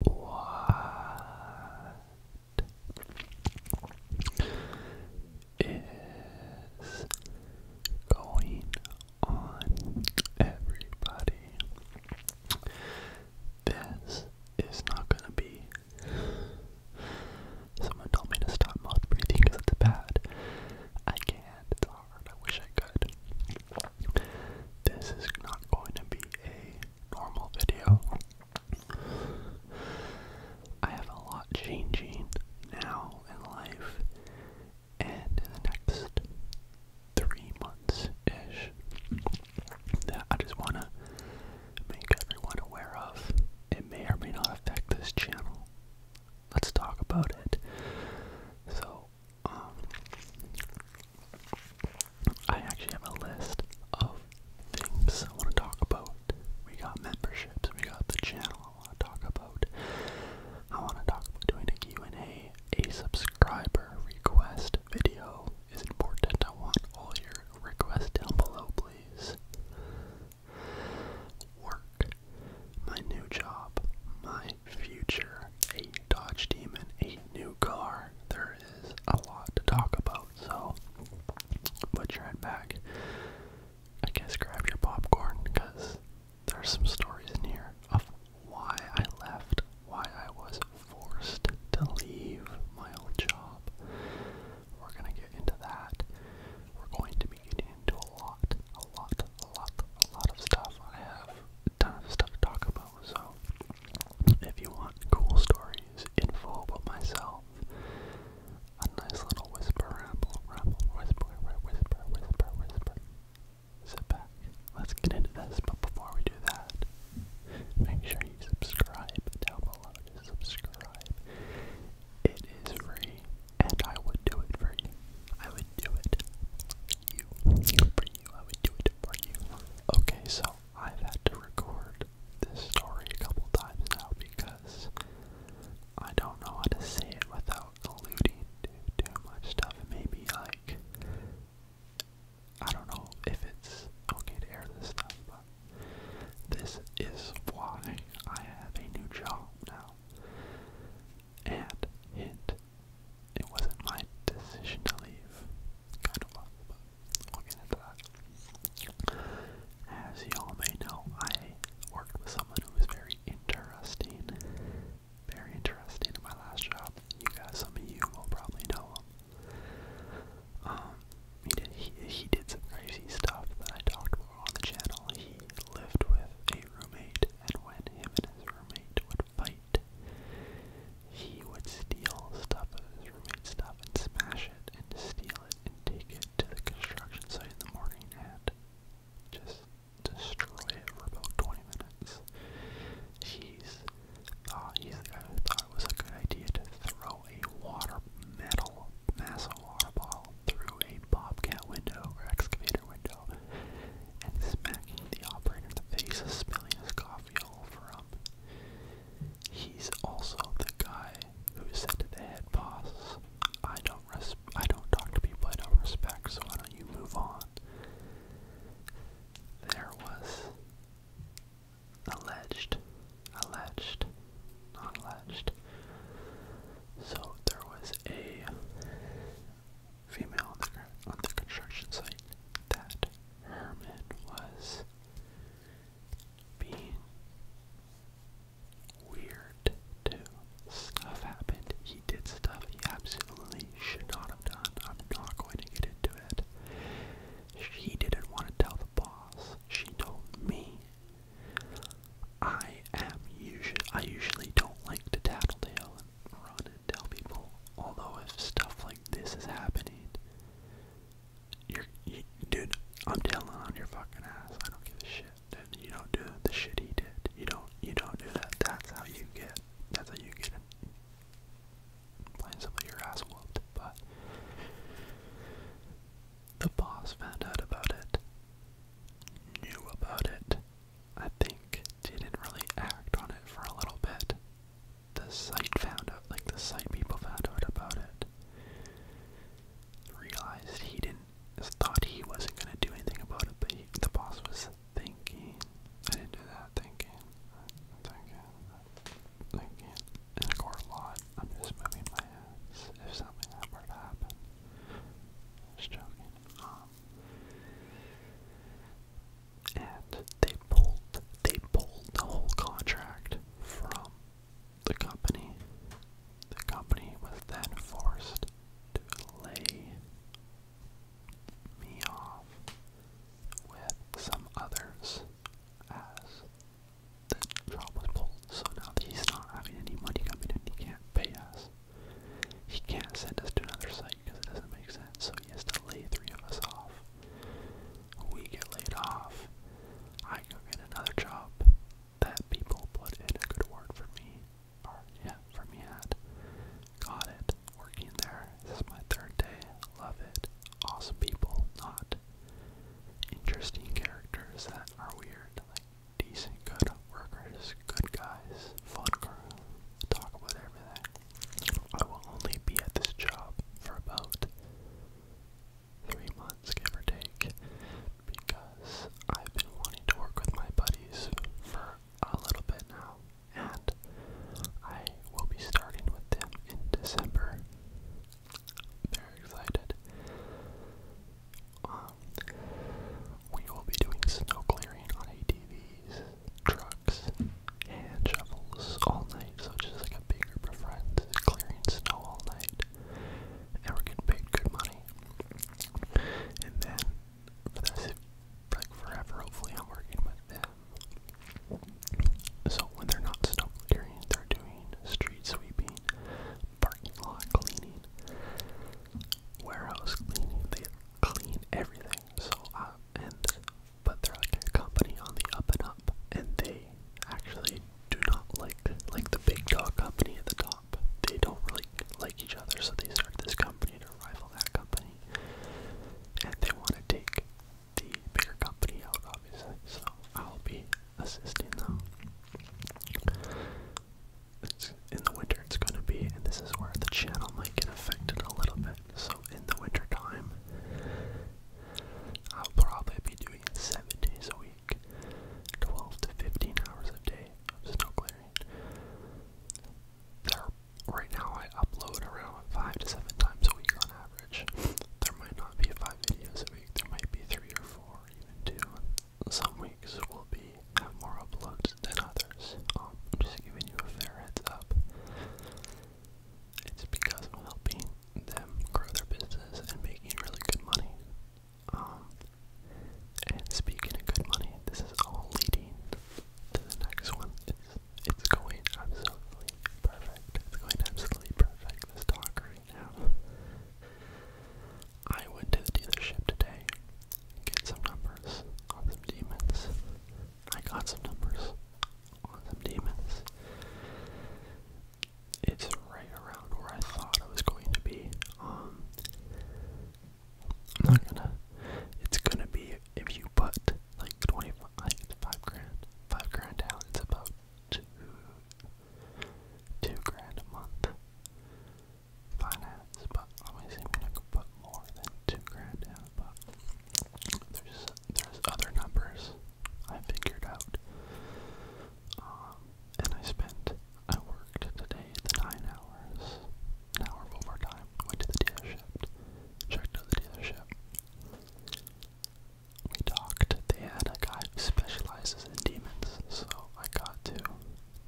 What is going on, everybody? This is not gonna be. Someone told me to stop mouth breathing because it's bad. I can't, it's hard, I wish I could. This is not going to be a normal video. I have a lot changing now in life and in the next three months ish that I just want to make everyone aware of. It may or may not affect this channel. Let's talk about it. So, um, I actually have a list of things I want to talk about. We got memberships, we got the channel I want to talk about. I want to talk about doing a Q&A. A subscriber request video is important. I want all your requests down below, please. Work, my new job, my future, a Dodge Demon, a new car. There is a lot to talk about, so put your head back. I guess grab your popcorn because there's some stories in here of why I left, why I was forced to leave my old job. We're gonna get into that. We're going to be getting into a lot, a lot, a lot, a lot of stuff. I have a ton of stuff to talk about, so if you want cool stories, info about myself, a nice little whisper ramble, ramble, whisper, whisper, whisper, whisper. Sit back. Let's get into this, but before we do that, make sure you subscribe down subscribe. It is free, and I would do it for you. I would do it. You. For you. I would do it for you. Okay, so I've had to record this story a couple times now because I don't know how to say it without alluding to too much stuff. Maybe like I don't know if it's okay to air this stuff, but this is why I have a new job now. And hint, it wasn't my decision to leave. Kind of was, but we'll get into that. As you all may know, I worked with someone who was very interesting. Very interesting in my last job. You guys, some of you will probably know him. Um, he did he, he did some crazy stuff that I talked about on the channel. He lived with a roommate, and when him and his roommate would fight. He would steal stuff of stuff and smash it and steal it and take it to the construction site in the morning and just destroy it for about 20 minutes. He's thought he's the guy who thought was a good idea to throw a water metal massive water ball through a bobcat window or excavator window and smacking the operator in the face, spilling his coffee all over He's also the guy who said to the head boss, "I don't respect. I don't talk to people I don't respect, so why don't you move on?" There was alleged, alleged, not alleged. So there was a female on the, construction site that Herman was being weird too. Stuff happened. He did stuff he absolutely should not have done. I'm not going to get into it. She didn't want to tell the boss. She told me. I am usually I usually don't like to tattle tale run and tell people. Although if stuff like this is happening, you're, dude, I'm telling on your fucking ass. I don't give a shit. Dude, you don't do the shit he did. You don't, you don't do that. That's how you get. That's how you get it. Playing some of your ass but the boss found out about it, knew about it. I think didn't really act on it for a little bit. The site found out, like the site people found out about it. Realized he didn't, thought he wasn't gonna do anything about it, but the boss was thinking. I didn't do that thinking. Thinking. Thinking. And score a lot. I'm just moving my hands if something were to Just joking. Um, and they pulled they pulled the whole contract from the company. The company was then forced to lay me off with some others as the job was pulled. So now he's not having any money coming in, he can't pay us. He can't send us to another site because it doesn't make sense. So he has to lay three of us off. We get laid off. I go get another job that people put in a good word for me. Or yeah, for me at. Got it. Working there. This is my third day. Love it. Awesome people. Not interesting characters that are weird. decent, good workers, good guys, fun crew. Talk about everything. I will only be at this job for about three months, give or take, because I've been wanting to work with my buddies for a little bit now, and I will be starting with them in December. Very excited. Um, we will be doing snow clearing on ATVs trucks and shovels all night, so it's just like a big group of friends clearing snow all night, and we're getting paid good money. And then for the rest like forever, hopefully, I'm working with them. So when they're not snow clearing, they're doing street sweeping, parking lot cleaning, warehouse cleaning. They clean everything. So I uh, and but they're like a company on the up and up, and they actually do not like like the big dog company at the top. They don't really like each other, so they start this company to rival that company, and they want to take the bigger company out, obviously. So I'll be assisting them. It's in the winter, it's going to be, and this is where the channel might get affected a little bit so in the winter time, I'll probably be doing seven days a week, 12 to 15 hours a day of snow clearing. There, right now, I upload around five to seven times a week on average. There might not be five videos a week. There might be three or four, even two. Some weeks will be have more uploads than others. Um, I'm just giving you a fair heads up. It's because I'm helping them grow their business and making really good money. Um, and speaking of good money, this is all leading to the next one. It's it's going absolutely perfect. It's going absolutely perfect. This talk right now. I went to the dealership today, get some numbers on some demons, I got some numbers on some demons. It's right around where I thought I was going to be. Um, I'm not gonna. It's gonna be if you put like twenty five, like five grand, five grand down. It's about two, two grand a month. Finance, but I'm gonna put more than two grand down. But there's there's other numbers I figured out. Um, and I spent I worked today the nine hours, an hour of overtime. Went to the dealership, checked out the dealership. We talked. They had a guy who specializes in demons, so I got to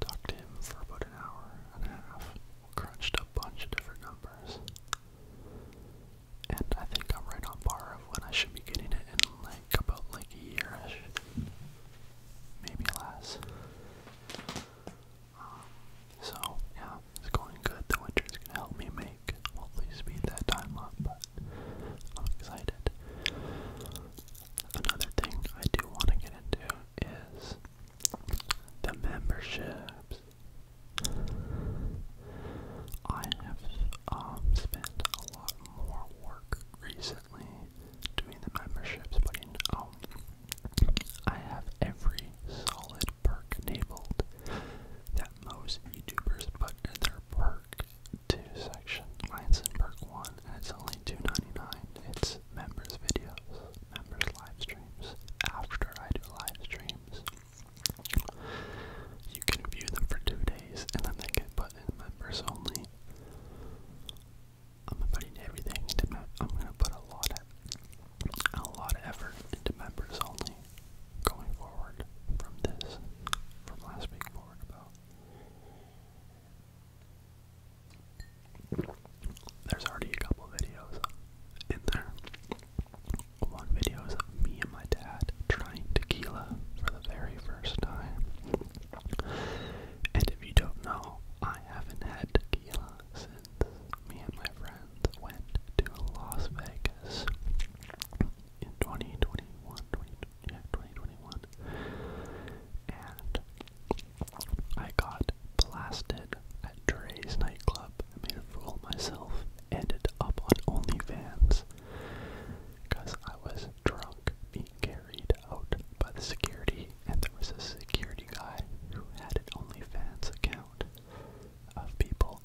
talk to him for about an hour and a half. Crunched a bunch of different numbers. And I think I'm right on par of when I should be getting it in like about like a year Maybe less. Um, so yeah, it's going good. The winter's gonna help me make hopefully speed that time up, but I'm excited. Another thing I do want to get into is the memberships. I have um, spent a lot more work recently doing the memberships, but in, um, I have every solid perk enabled that most YouTubers put in their perk 2 section. Mine's in perk 1, and it's only $2.99. It's members videos, members live streams after I do live streams. You can view them for two days and then they get put in members only. I'm putting everything into I'm gonna put a lot of a lot of effort into members only going forward from this from last week forward there's already a couple videos in there. One video is of me and my dad trying tequila for the very first time. And if you don't know, I haven't had tequila since me and my friends went to Las Vegas in 2021. yeah, 2021. And I got blasted at Dre's nightclub. I made a fool of myself. Ended up on OnlyFans. Because I was drunk, being carried out by the security, and there was a security guy who had an OnlyFans account of people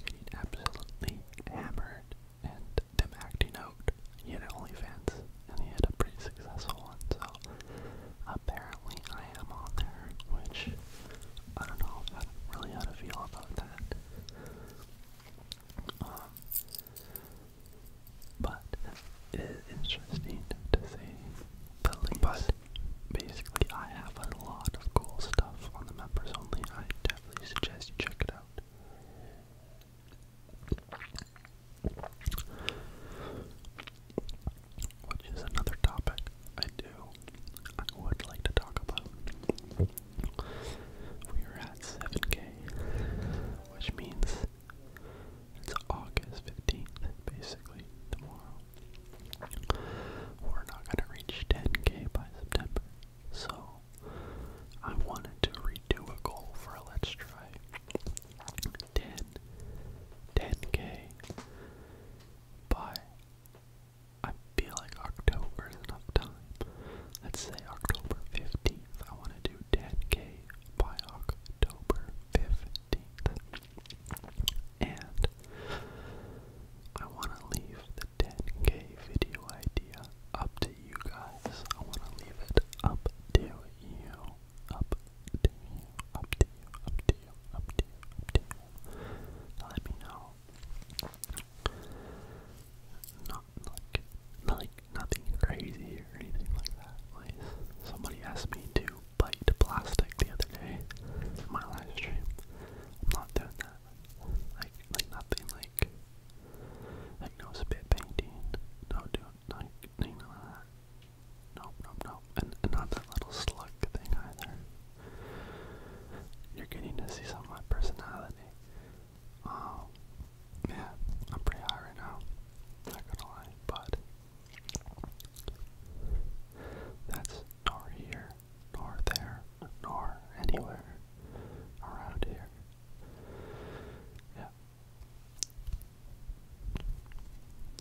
getting absolutely hammered and them acting out. He had OnlyFans, and he had a pretty successful one, apparently I am on there, which I don't know how, really how to feel about that. Um, but it is interesting to see the links. But basically, I have a lot of cool stuff on the members only. I definitely suggest you check it out which is another topic I do I would like to talk about. We are at 7k, which means it's August 15th, basically, tomorrow. We're not going to reach 10k by September, so I wanted to redo a goal for a Let's Try. 10, 10k by, I feel like October is enough time. Let's say October 15th. I want to do 10k by October 15th. And I want to leave the 10k video idea up to you guys. I want to leave it up to you up to you, up to you, up to you, up to you, Let me know. Not like, like nothing crazy or anything like that. somebody asked me to bite plastic the other day my live I'm not doing that. Like, like nothing like, like no spit painting, no doing like, none of that. Nope, nope, nope. And, not that little slug thing either. You're getting to see some of my personality. Um, yeah, I'm pretty high right now. Not gonna lie, but that's nor here, nor there, nor anywhere around here. Yeah.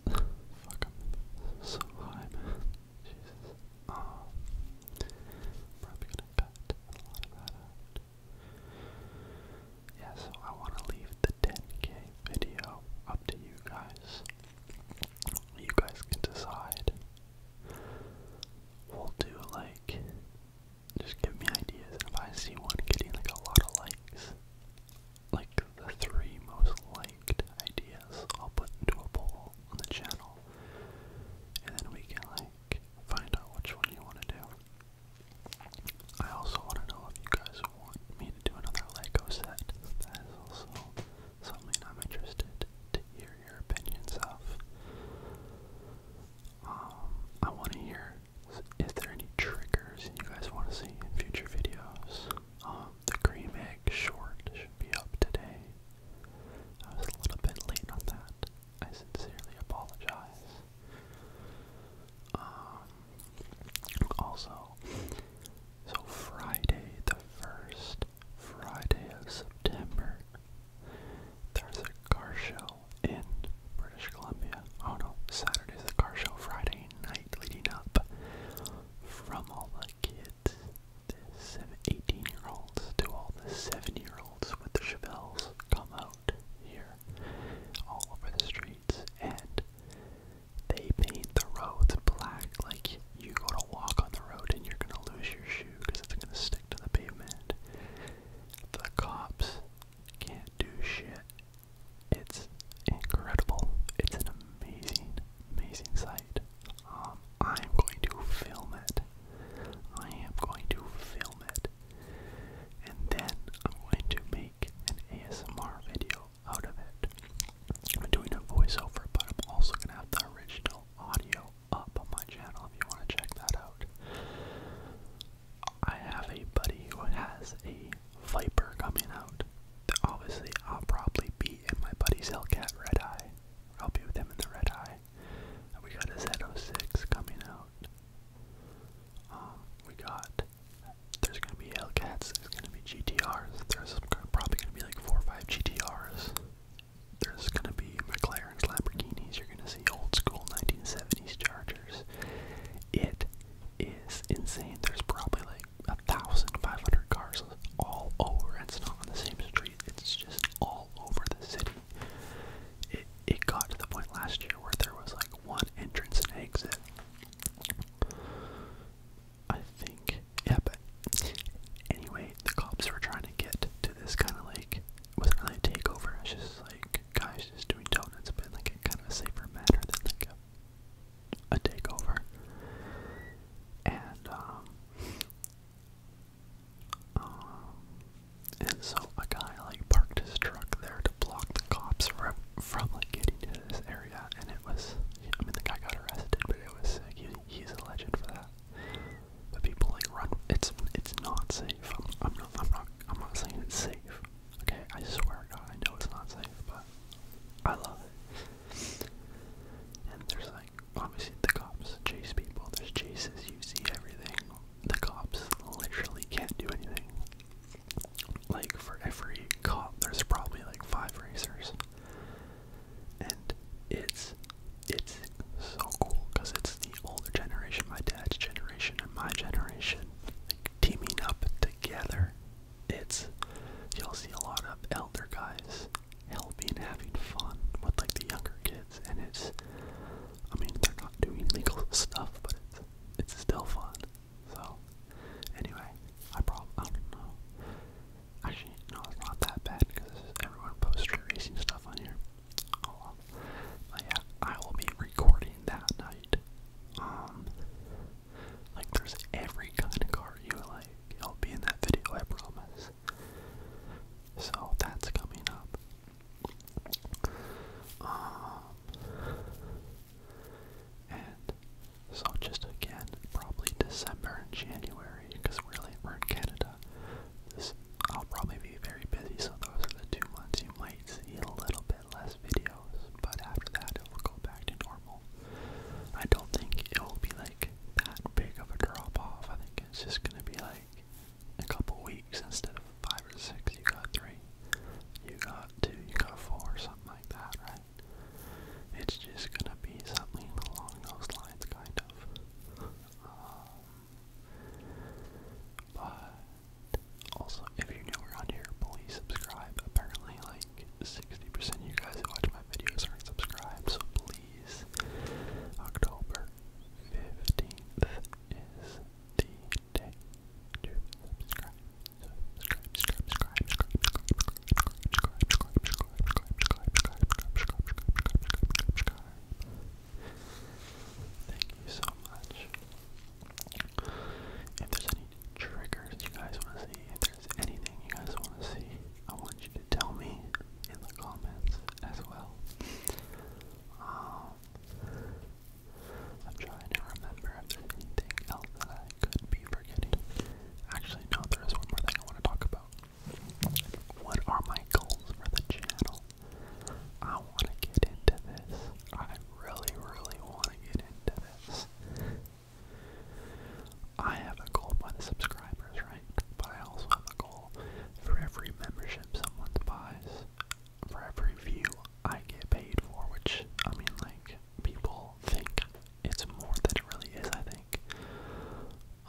Fuck, i so high, man. Jesus. Um, probably I want to leave the 10k video up to you guys. You guys can decide. We'll do like, just give me ideas, if I see one getting like a lot of likes, like the three most liked ideas i put into a poll on the channel. And then we can like find out which one you want to do. I also want to know if you guys want me to do another Lego set. That is also something I'm interested to hear your opinions of. Um, I want to hear, if there any triggers you guys want to see in future videos? Um, the cream egg short should be up today. I was a little bit late on that. I sincerely apologize. Um, also, so Friday the 1st, Friday of September, there's a car show in British Columbia. Oh no, Saturday's the car show, Friday Friday night leading up from all the kids, the 18 year olds to all the 7 year olds with the Chevelles come out here all over the streets and they paint the roads black like you go to walk on the road and you're going to lose your shoe because it's going to stick to the pavement. The cops can't do shit it's incredible. It's an amazing, amazing sight. Um, I am going to film it. I am going to film it. And then I'm going to make an ASMR video out of it. I'm doing a voiceover, but I'm also going to have the original audio up on my channel if you want to check that out. I have a buddy who has a Viper coming out. Obviously, I'll probably be in my buddy's Hellcat Red Eye. I'll be with him in the Red Eye. We got a Z06 coming out. Um, we got. There's gonna be Hellcats. There's gonna be GTRs. There's probably gonna be like four or five GTRs. There's gonna be McLarens, Lamborghinis. You're gonna see old school 1970s Chargers. It is insane. There's probably like a thousand five hundred cars all over. It's not on the same street. It's just all over the city. It it got to the point last year where there was like one entrance and exit. I think. Yeah, but anyway, the cops were trying to get to this kind of like wasn't really a takeover. It's just like guys just doing donuts, but like a kind of a safer manner than like a a takeover. And, um, um, and so a guy like parked his truck there to block the cops from, from like getting to this area. And it was, I mean, the guy got arrested, but it was sick. he's a legend for that. But people like run. It's it's not safe. I'm, I'm not. I'm not. I'm not saying it's safe. Okay, I swear God, I know it's not safe, but I love it. And there's like, obviously the cops chase people, there's chases, you see everything. The cops literally can't do anything. Like, for every cop, there's probably like five racers. And it's, it's so cool, because it's the older generation, my dad's generation, and my generation, like, teaming up together it's you'll see a lot of elder guys helping and having fun with like the younger kids and it's I mean they're not doing legal stuff but it's it's still fun. So anyway, I probably I don't know. Actually no it's not that bad because everyone posts street racing stuff on here. Oh well. But yeah, I will be recording that night. Um like there's every kind of car you like. It'll be in that video, I promise. So that's coming up. Um, and so just again, probably December and January, because really we're in Canada. This I'll probably be very busy, so those are the two months you might see a little bit less videos, but after that it will go back to normal. I don't think it will be like that big of a drop off. I think it's just gonna be like a couple weeks instead of five or six. You got three, you got two, you got four, something like that, right? It's just gonna be something along those lines, kind of. Um, but also, if you're new around here, please subscribe. Apparently, like 60% of you guys that watch my videos aren't subscribed, so please. October 15th is the day to subscribe. So subscribe, subscribe, subscribe, subscribe, subscribe, subscribe, subscribe, subscribe, subscribe, subscribe, subscribe, Thank you so much. If there's any triggers you guys want to see, if there's anything you guys want to see, I want you to tell me in the comments as well. Um, I'm trying to remember if there's anything else that I could be forgetting. Actually, no, there is one more thing I want to talk about. What are my goals for the channel? I want to get into this. I really, really want to get into this. I have a goal by the subscribers, right? But I also have a goal for every membership someone buys, for every view I get paid for, which, I mean, like, people think it's more than it really is, I think.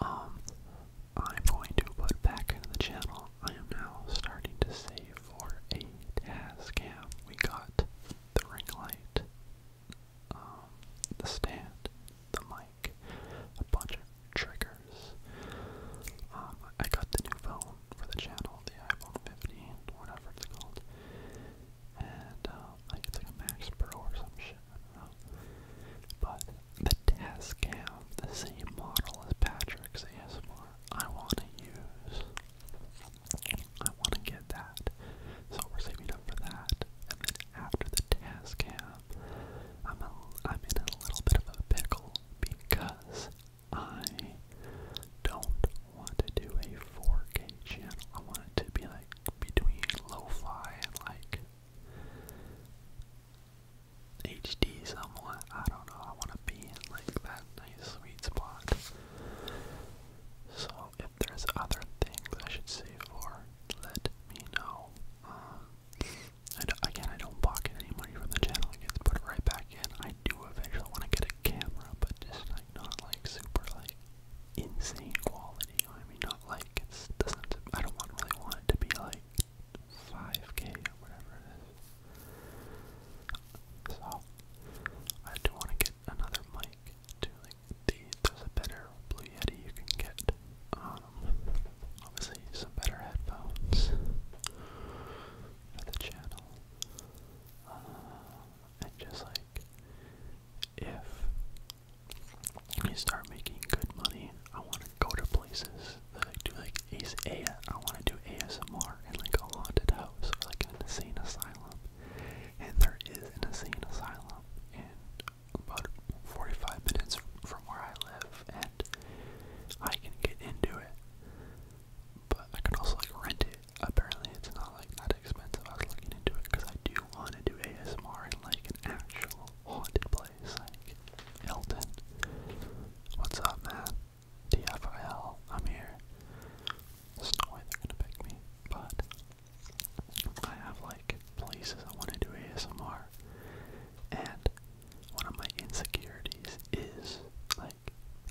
Um, I'm going to put back into the channel. I am now starting to save for a task We got the ring light, um, the stand, the mic, a bunch of triggers. Um, I got the new phone for the channel, the iPhone 15, whatever it's called, and um, it's like a Max Pro or some shit. But the Tascam, the same model as Patrick's ASMR, I want to use. I want to get that. So we're saving up for that. And then after the task camp, I'm, a, I'm in a little bit of a pickle because I don't want to do a 4K channel. I want it to be like between lo-fi and like HD somewhat. I don't know. I want to be in like that nice sweet spot. So if there's other things I should save for, let me know. Um, I don't, again, I don't pocket any money from the channel. It gets put right back in. I do eventually want to get a camera, but just like not like super like insane quality. I mean, not like it's doesn't. I don't want, really want it to be like 5K or whatever it is. So I do want to get another mic too. Like the there's a better Blue Yeti you can get. Um, obviously some better headphones for the channel. Uh, and just like if you start making good money, I want to go to places that I do like AS I want to do ASMR in like a haunted house or like an insane asylum. And there is an insane asylum in about 45 minutes from where I live, and I can get into it. But I could also like rent it. Apparently, it's not like that expensive. I was looking into it because I do want to do ASMR in like an actual haunted place, like Elton. What's up, man? TFIL, I'm here. There's no way they're gonna pick me, but I have like places I want to do ASMR, and one of my insecurities is like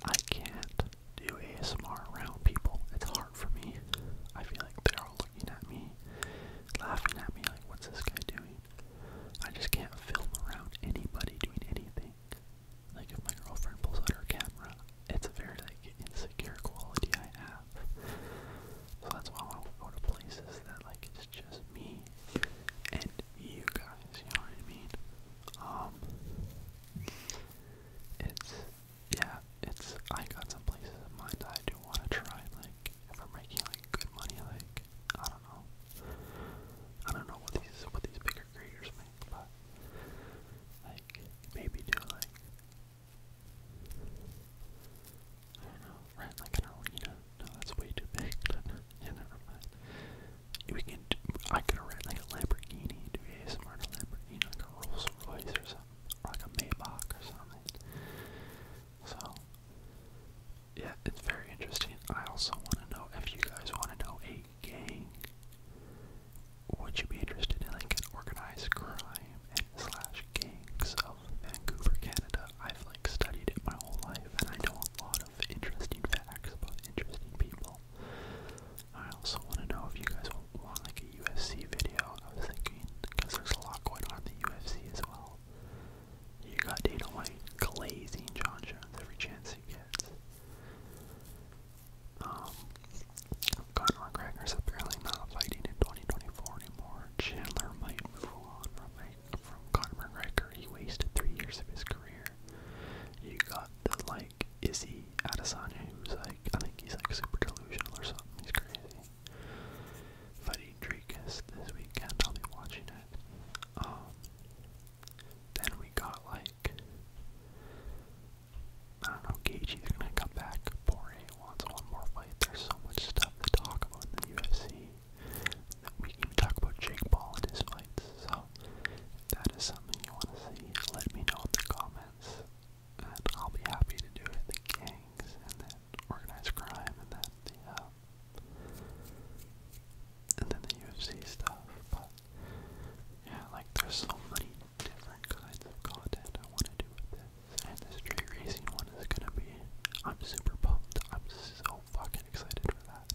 I can't do ASMR around people. It's hard for me. I feel like they're all looking at me, laughing at me, like, what's this guy doing? I just can't film around anybody doing anything think. Like if my girlfriend pulls out her camera, it's a very like insecure quality I have. So that's why I want to go to places that like it's just me and you guys, you know what I mean? Um It's yeah, it's I got some places in mind that I do want to try, like if I'm making like good money, like I don't know. I don't know what these what these bigger creators but like maybe do like I don't know, rent like an arena. No, that's way too big. never mind. We can. Do, I could rent like a Lamborghini. Do a smart Lamborghini, like a Rolls Royce or something, or like a Maybach or something. So. Yeah, it's very interesting. I also want to know if you guys want to know gang. Would you be interested in like organized crime and slash gangs of Vancouver, Canada? I've like studied it my whole life and I know a lot of interesting facts about interesting people. I also want to know if you guys want like a UFC video. I was thinking because there's a lot going on in the UFC as well. You got Dana White glazing John Jones every chance he gets. Um, Conor McGregor's apparently not fighting in 2024 anymore. Chandler might move on from, from Conor McGregor. He wasted three years of his career. You got the, like, Izzy Adesanya, who's like, I think he's like super delusional or something. He's crazy. Fighting Drakus this weekend. I'll be watching it. Um, then we got like I don't know, Gaethje, they're gonna come back. Poirier wants one more fight. There's so much stuff to talk about in the UFC. We can even talk about Jake Paul and his fights. So if that is something you want to see, let me know in the comments. And I'll be happy to do it. The gangs and then organized crime and then the uh, and then the UFC stuff. But yeah, like there's so many different kinds of content I want to do with this. And this street racing one is gonna be I'm super pumped. I'm so fucking excited for that.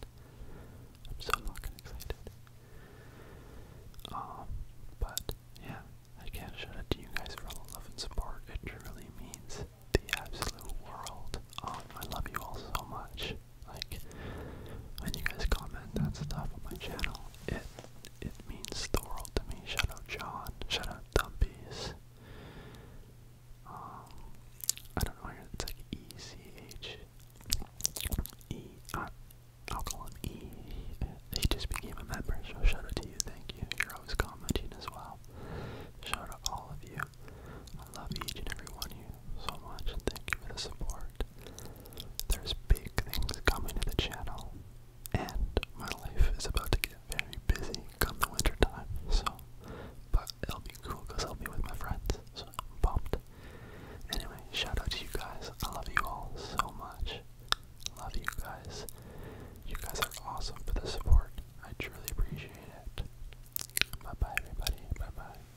I'm so fucking excited. Um, but yeah, I can't shout out to you guys for all the love and support. It truly means the absolute world. Um, I love you all so much. Like when you guys comment that stuff on my channel, it it means the world to me. Shout out John. Shout out Dumpies. Um, I don't know. It's like E C H E. I, uh, I'll call him E. He just became a member, shout out to you. Thank you. You're always commenting as well. Shout out all of you. I love each and every one of you so much, thank you for the support. There's big things coming to the channel, and my life is about to get very busy come the winter time, so, but it'll be cool because I'll be with my friends, so I'm pumped. Anyway, shout out to you guys. I love you all so much. Love you guys. You guys are awesome for the support. I truly appreciate it. Bye bye, everybody. Bye bye.